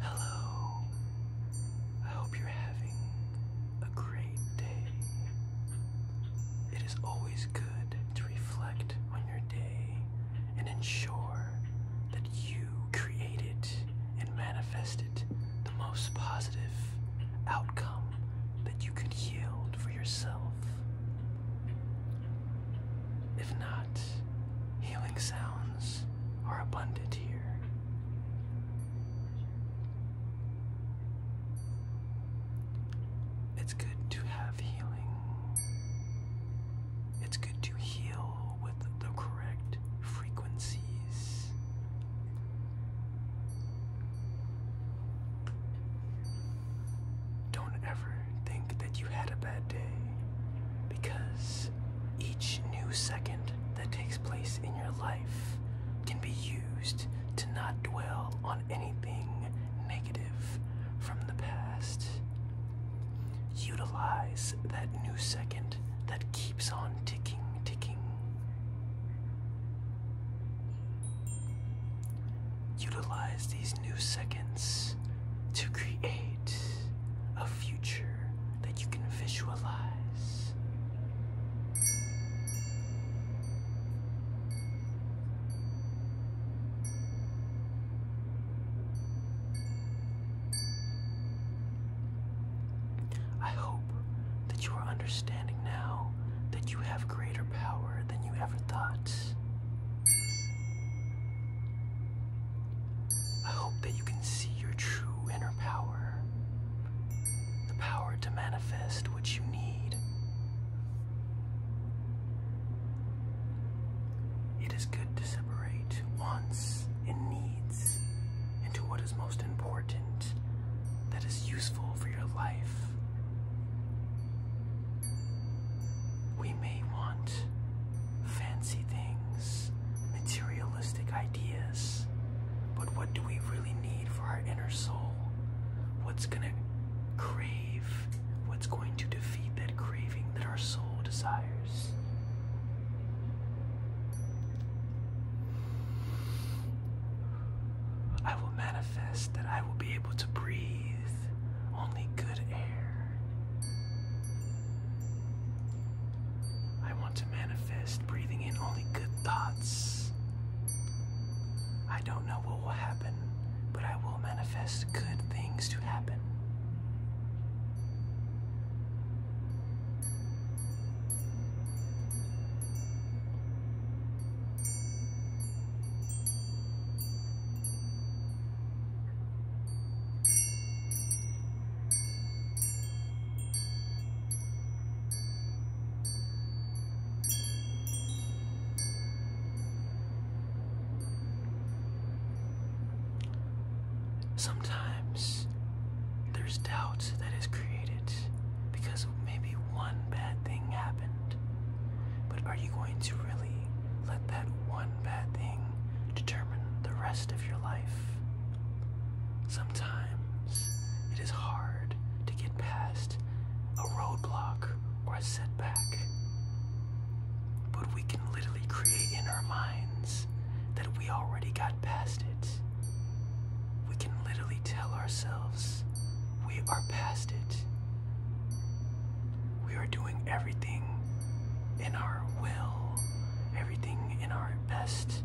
Hello. I hope you're having a great day. It is always good to reflect on your day and ensure that you created and manifested the most positive outcome that you could yield for yourself. If not, healing sounds are abundant here. It's good to have healing. It's good to heal with the correct frequencies. Don't ever think that you had a bad day because each new second that takes place in your life can be used to not dwell on anything negative from the past. Utilize that new second that keeps on ticking, ticking. Utilize these new seconds to create a future that you can visualize. I hope that you are understanding now that you have greater power than you ever thought. I hope that you can see your true inner power, the power to manifest what you need. It is good to separate wants and needs into what is most important that is useful for your life. We may want fancy things, materialistic ideas, but what do we really need for our inner soul? What's gonna crave? What's going to defeat that craving that our soul desires? I will manifest that I will be able to breathe only good air. I want to manifest breathing in only good thoughts. I don't know what will happen, but I will manifest good things to happen. Sometimes there's doubt that is created because maybe one bad thing happened. But are you going to really let that one bad thing determine the rest of your life? Sometimes it is hard to get past a roadblock or a setback. But we can literally create in our minds that we already got past it. We can literally merely tell ourselves we are past it. We are doing everything in our will, everything in our best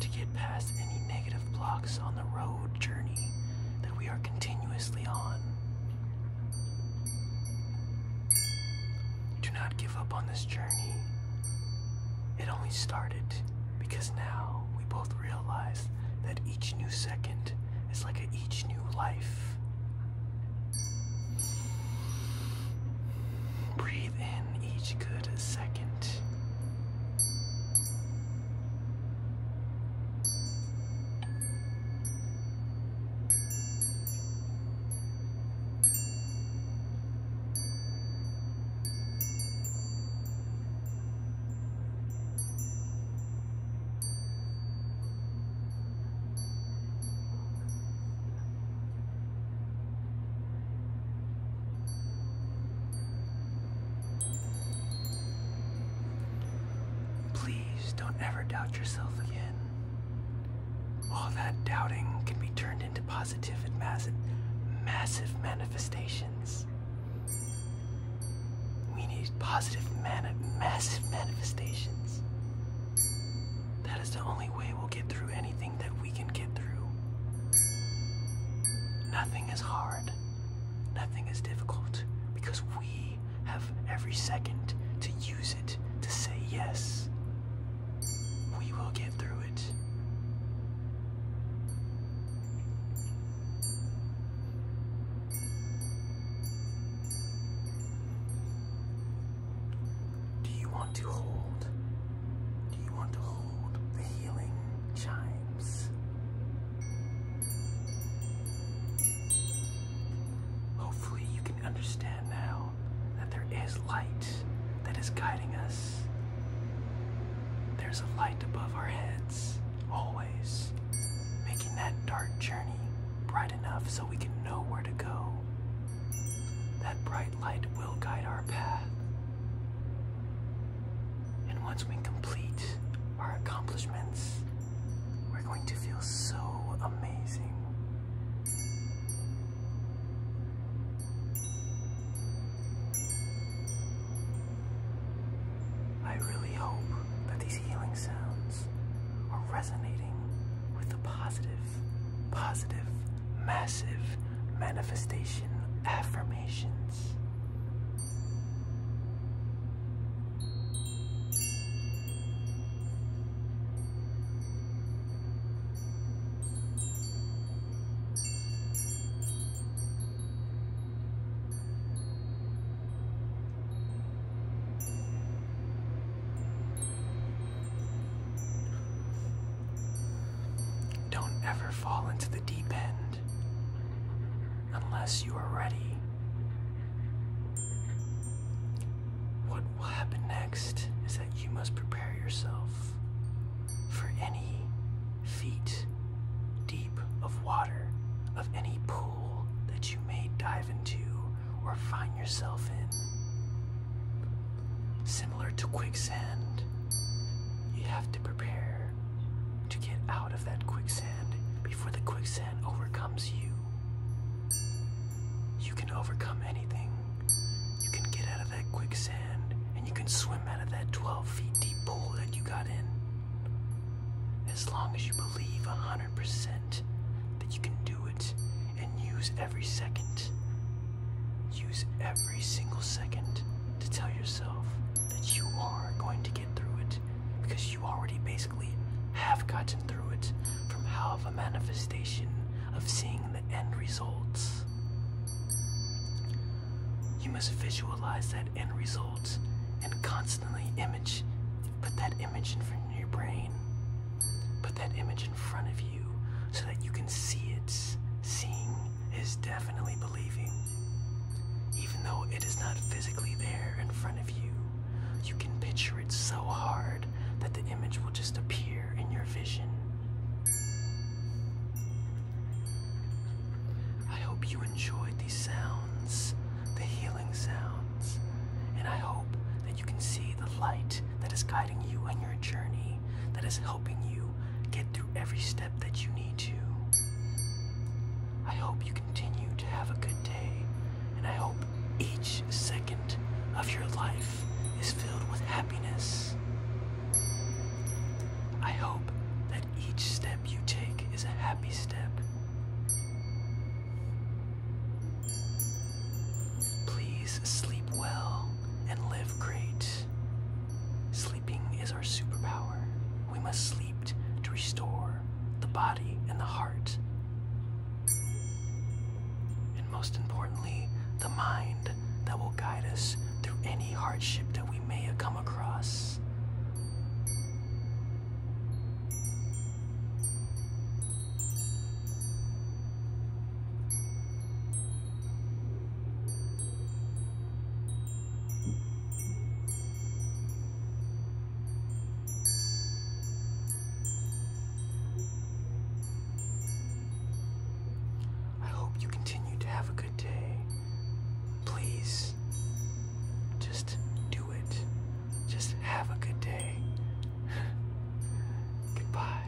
to get past any negative blocks on the road journey that we are continuously on. Do not give up on this journey. It only started. Because now we both realize that each new second is like a each new life. Breathe in each good second. Please don't ever doubt yourself again. All that doubting can be turned into positive and massive, massive manifestations. We need positive, mani massive manifestations. That is the only way we'll get through anything that we can get through. Nothing is hard. Nothing is difficult because we have every second to use it to say yes. We will get through it. Do you want to hold? Do you want to hold the healing chimes? Hopefully, you can understand now that there is light that is guiding us. There's a light above our heads, always, making that dark journey bright enough so we can know where to go. That bright light will guide our path. And once we complete our accomplishments, we're going to feel so amazing. I really hope that these healing sounds are resonating with the positive, positive, massive manifestation affirmations. Don't ever fall into the deep end unless you are ready. What will happen next is that you must prepare yourself for any feet deep of water, of any pool that you may dive into or find yourself in. Similar to quicksand, you have to prepare to get out of that quicksand before the quicksand overcomes you. You can overcome anything. You can get out of that quicksand, and you can swim out of that 12 feet deep pool that you got in. As long as you believe 100% that you can do it and use every second. Use every single second to tell yourself that you are going to get through it because you already basically have gotten through it from how of a manifestation of seeing the end results. You must visualize that end result and constantly image, put that image in front of your brain, put that image in front of you so that you can see it. Seeing is definitely believing, even though it is not physically there in front of you. You can picture it so hard that the image will just appear in your vision. I hope you enjoyed these sounds, the healing sounds, and I hope that you can see the light that is guiding you on your journey, that is helping you get through every step that you need to. I hope you continue to have a good day, and I hope each second of your life is filled with happiness. I hope that each step you take is a happy step. Please sleep well and live great. Sleeping is our superpower. We must sleep to restore the body and the heart. And most importantly, the mind that will guide us through any hardship that we may have come across. I hope you continue to have a good day. Please, just do it. Just have a good day. Goodbye.